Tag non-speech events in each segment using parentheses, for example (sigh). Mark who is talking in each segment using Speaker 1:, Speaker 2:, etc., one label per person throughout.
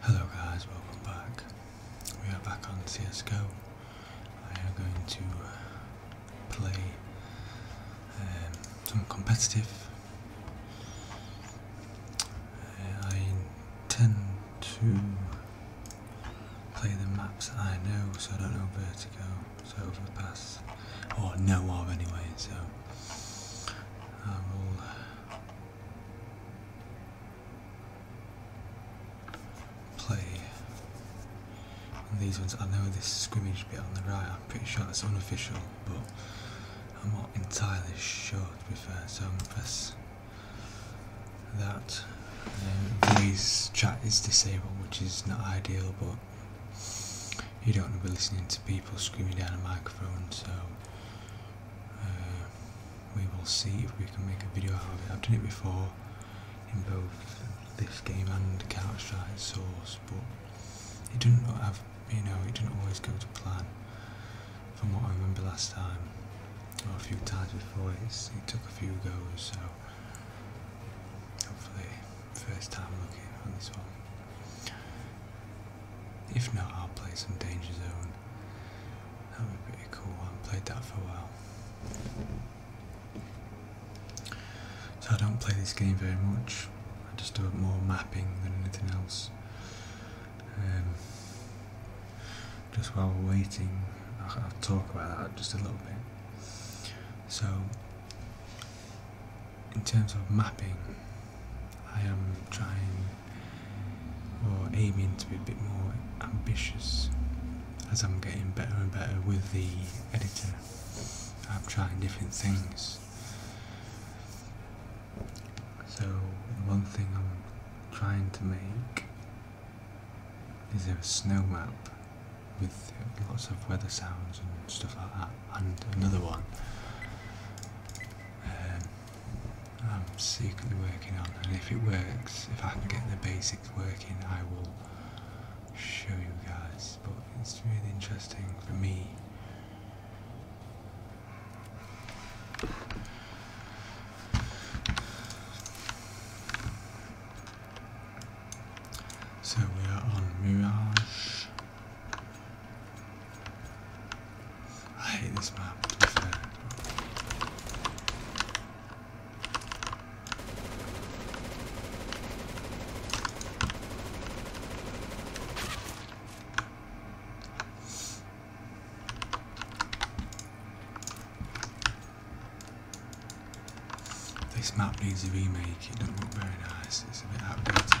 Speaker 1: Hello guys, welcome back. We are back on CSGO. I am going to uh, play um, some competitive. Uh, I intend to play the maps I know, so I don't know Vertigo, so Overpass, or know of anyway, so I will play these ones. I know this scrimmage bit on the right, I'm pretty sure that's unofficial, but I'm not entirely sure to be fair, so I'm press that uh, chat is disabled which is not ideal but you don't want to be listening to people screaming down a microphone so uh, we will see if we can make a video out of it. I've done it before in both this game and Counter-Strike Source but it didn't have you know it didn't always go to plan from what I remember last time a few times before. he took a few goals. so hopefully first time looking on this one. If not, I'll play some Danger Zone. That would be pretty cool. I have played that for a while. So I don't play this game very much. I just do more mapping than anything else. Um, just while we're waiting, I'll, talk about that just a little bit. So, in terms of mapping, I am trying or aiming to be a bit more ambitious as I'm getting better and better with the editor. I'm trying different things. So one thing I'm trying to make is there a snow map with lots of weather sounds and stuff like that, and another one um, I'm secretly working on, and if it works, if I can get the basics working, I will show you guys, but it's really interesting for me. So we are on Mirage. I hate this map, this map needs a remake, it doesn't look very nice, it's a bit outdated now.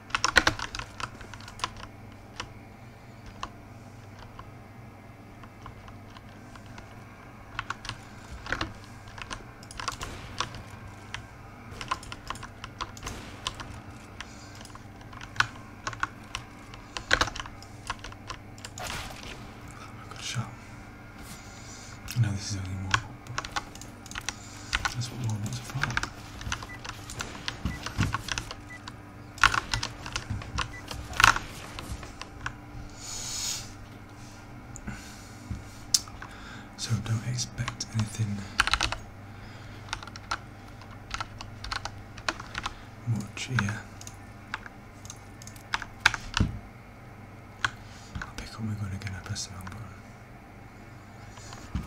Speaker 1: I know this is only one, but that's what Lauren wants to find. So don't expect anything much here. I'll pick up my gun again, I press button.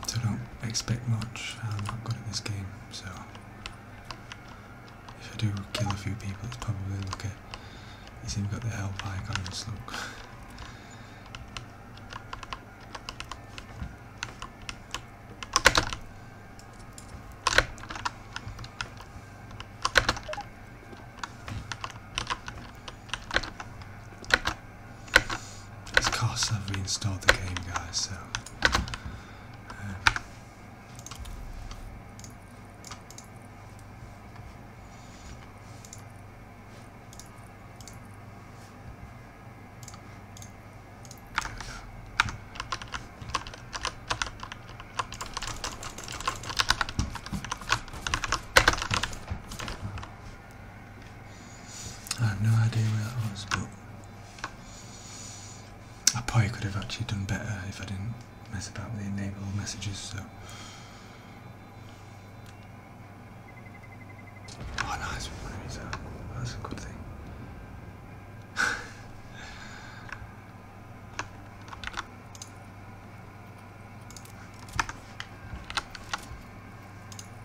Speaker 1: So don't expect much. Um, I'm not good at this game, so if I do kill a few people, it's probably okay. you see we've got the help icons. Look. It's because I've reinstalled the game, guys, so... I have no idea where that was, but I probably could have actually done better if I didn't mess about with the enable messages, so. Oh nice, we want That's a good thing.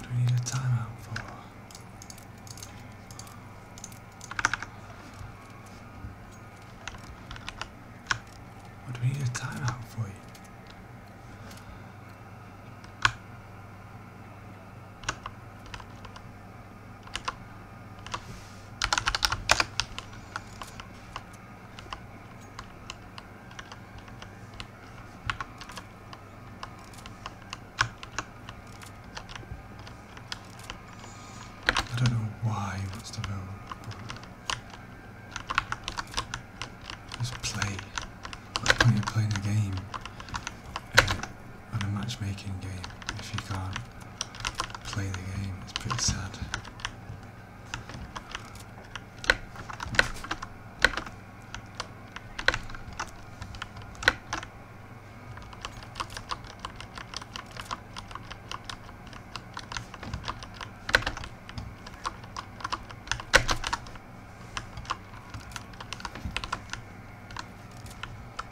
Speaker 1: Do we need a timeout for? What do we need a timeout for I don't know why he wants to know. Just play. Like when you playing a game, on a matchmaking game if you can't play the game. It's pretty sad.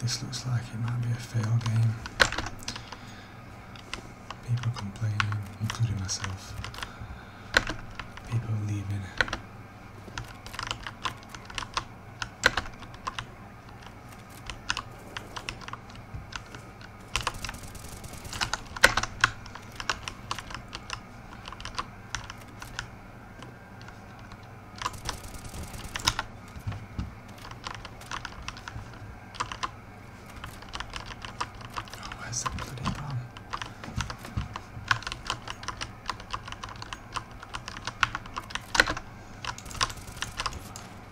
Speaker 1: This looks like it might be a fail game. People complaining, including myself. People leaving. Oh, where's the bloody bomb?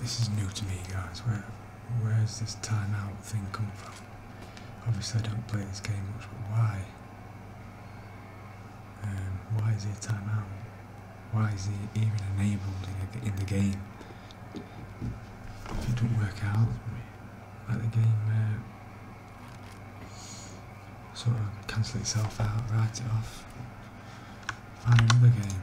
Speaker 1: This is new to me, guys. Where, where's this timeout thing come from? Obviously, I don't play this game much, but why? Um, why is he timeout? Why is it even enabled in, the game? If it don't work out, at the game uh, sort of cancel itself out, write it off, find another game.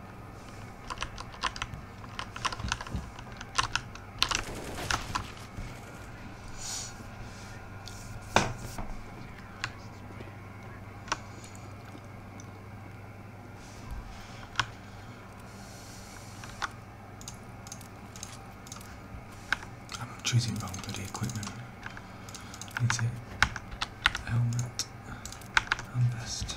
Speaker 1: I'm choosing wrong bloody equipment. Is it helmet and vest?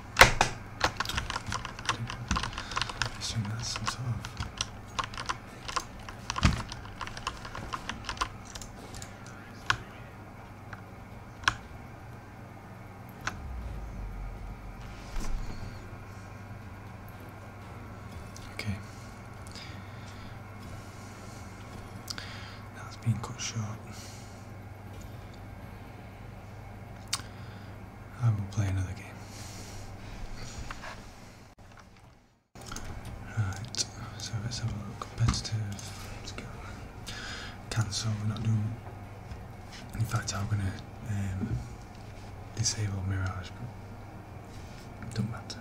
Speaker 1: I assume that's some sort of okay. Now has been cut short. I will play another game. Right, so let's have a look. Competitive. Cancel, we're not doing. In fact, I'm gonna um, disable Mirage, but not matter.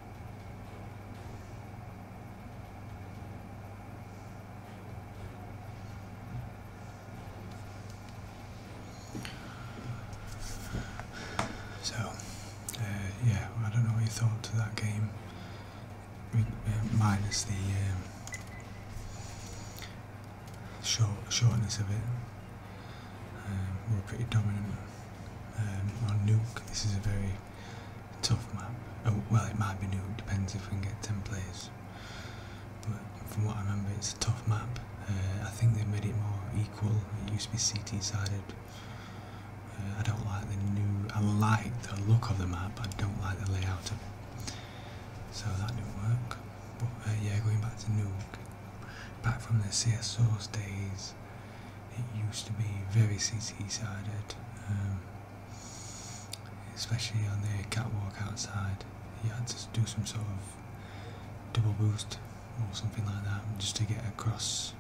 Speaker 1: So, uh, yeah, I don't know what you thought to that game, uh, minus the um, short shortness of it. Um, we're pretty dominant um, on Nuke. This is very tough map. Oh, well, it might be new, depends if we can get 10 players. But from what I remember, it's a tough map. Uh, I think they made it more equal. It used to be CT sided. Uh, I don't like the new. I like the look of the map, but I don't like the layout of it. So that didn't work. But uh, yeah, going back to Nuke, back from the CSO's days, it used to be very CT sided, um, especially on the catwalk outside. You had to do some sort of double boost or something like that just to get across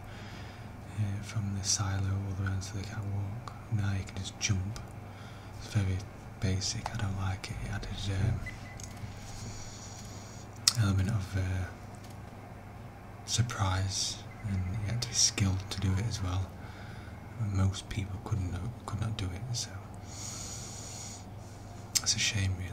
Speaker 1: uh, from the silo all the way onto the catwalk. Now you can just jump. It's very basic, I don't like it. It added um, element of uh, surprise, and he had to be skilled to do it as well. Most people couldn't could not do it, so that's a shame, really.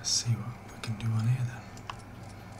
Speaker 1: Let's see what we can do on here then.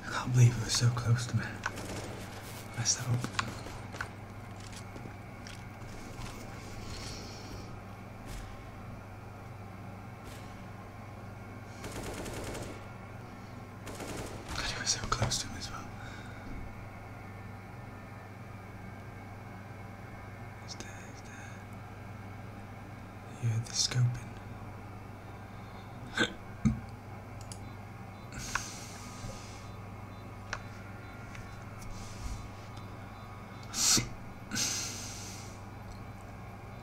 Speaker 1: I can't believe it was so close to me. messed up. God, he was so close to him as well. He's there, there. You heard the scoping.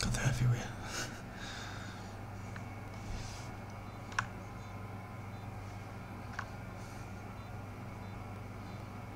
Speaker 1: God, they're everywhere.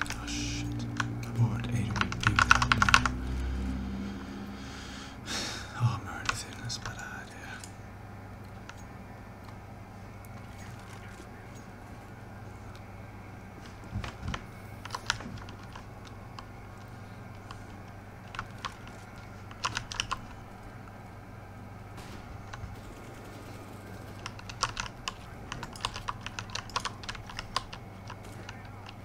Speaker 1: Oh shit. My board ate a week without armor or anything, that's a bad idea.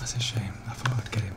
Speaker 1: That's a shame. I thought I'd get him.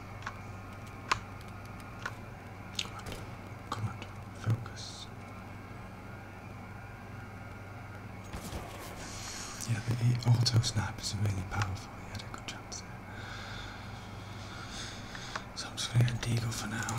Speaker 1: Come on, come on, focus. Yeah, the auto snap is really powerful. He good chance So I'm going to get Deagle for now.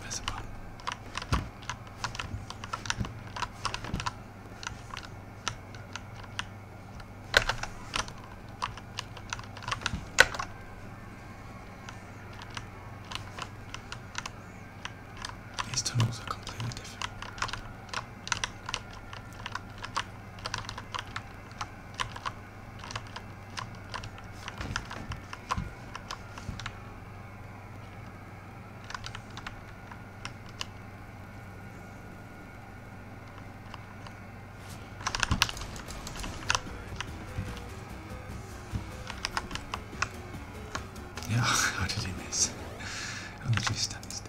Speaker 1: There's a one. These tunnels are completely different. (laughs) How did miss? How (laughs) did you stand still?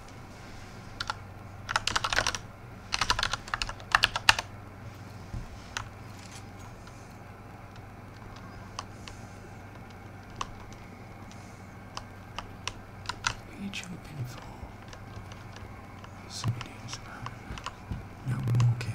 Speaker 1: Each of the pinfall is millions No more care.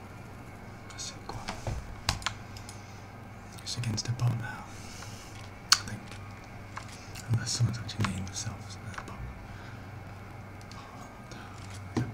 Speaker 1: let It's against the bottom now. I think. Unless someone's actually named themselves in that bottom. That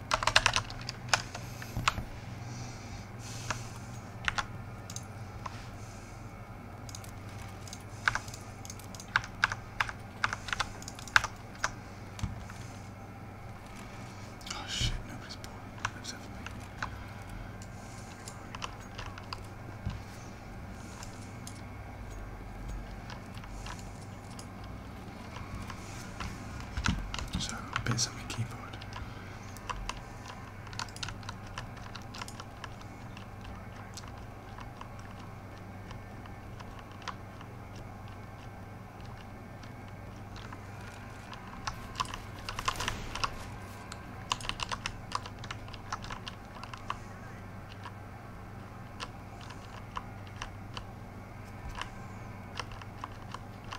Speaker 1: Oh shit, nobody's bored except for me. So bits on the keyboard.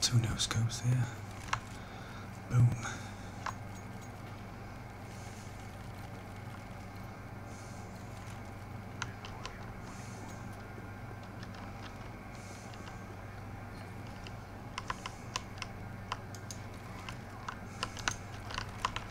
Speaker 1: Two no scopes there. Boom.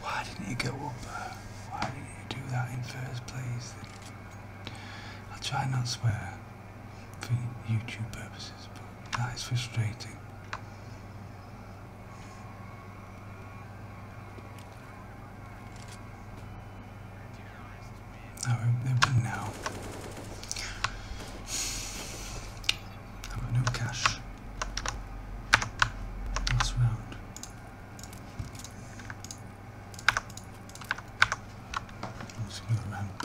Speaker 1: Why didn't you go up? Uh, why didn't you do that in first place? I'll try not to swear for YouTube purposes, but that is frustrating. I hope I've no cash. Last round. I'm go ramp.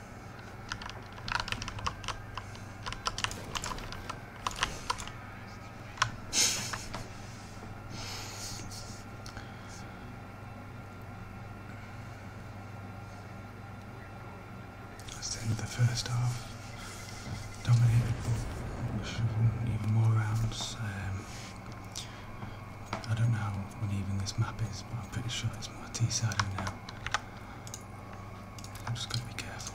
Speaker 1: Let's end the first half. Dominated, but even more rounds. Um, I don't know what even this map is, but I'm pretty sure it's Mortisado now. I'm just gonna be careful.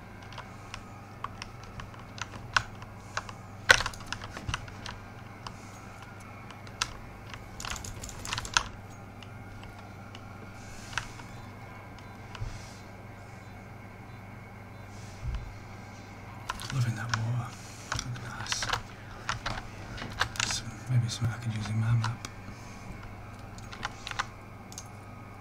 Speaker 1: Loving that water. Look maybe something I could use in my map.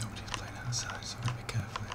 Speaker 1: Nobody's playing outside, so we gotta be careful here.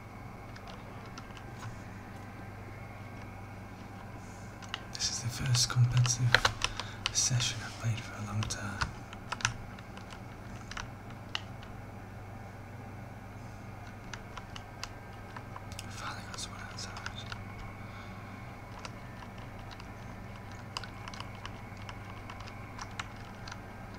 Speaker 1: This is the first competitive session I've played for a long time. Finally got someone outside.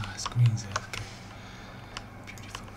Speaker 1: Ah, screen's AFK. Beautiful. Man.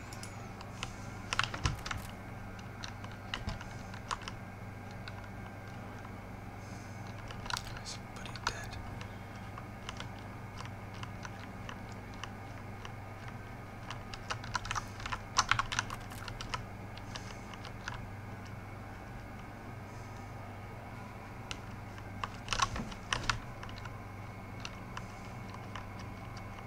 Speaker 1: Somebody dead.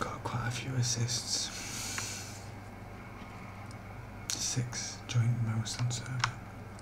Speaker 1: Got quite a few assists. Six joint most and server.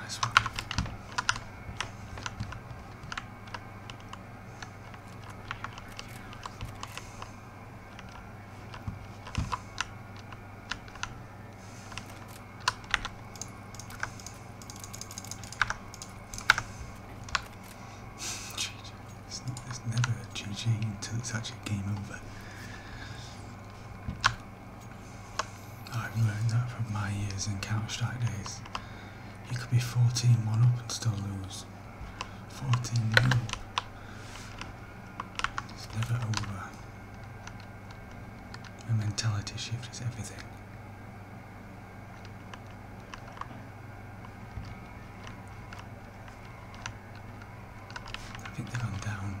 Speaker 1: Nice one. It's, it's never a GG until it's actually game over. I've learned that from my years in Counter Strike days. You could be 14 1 up and still lose. 14 0. It's never over. A mentality shift is everything. I think they've gone down.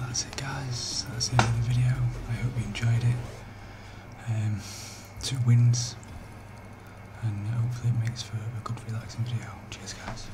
Speaker 1: That's it guys, that's the end of the video. I hope you enjoyed it. Um, two wins and hopefully it makes for a good relaxing video. Cheers guys.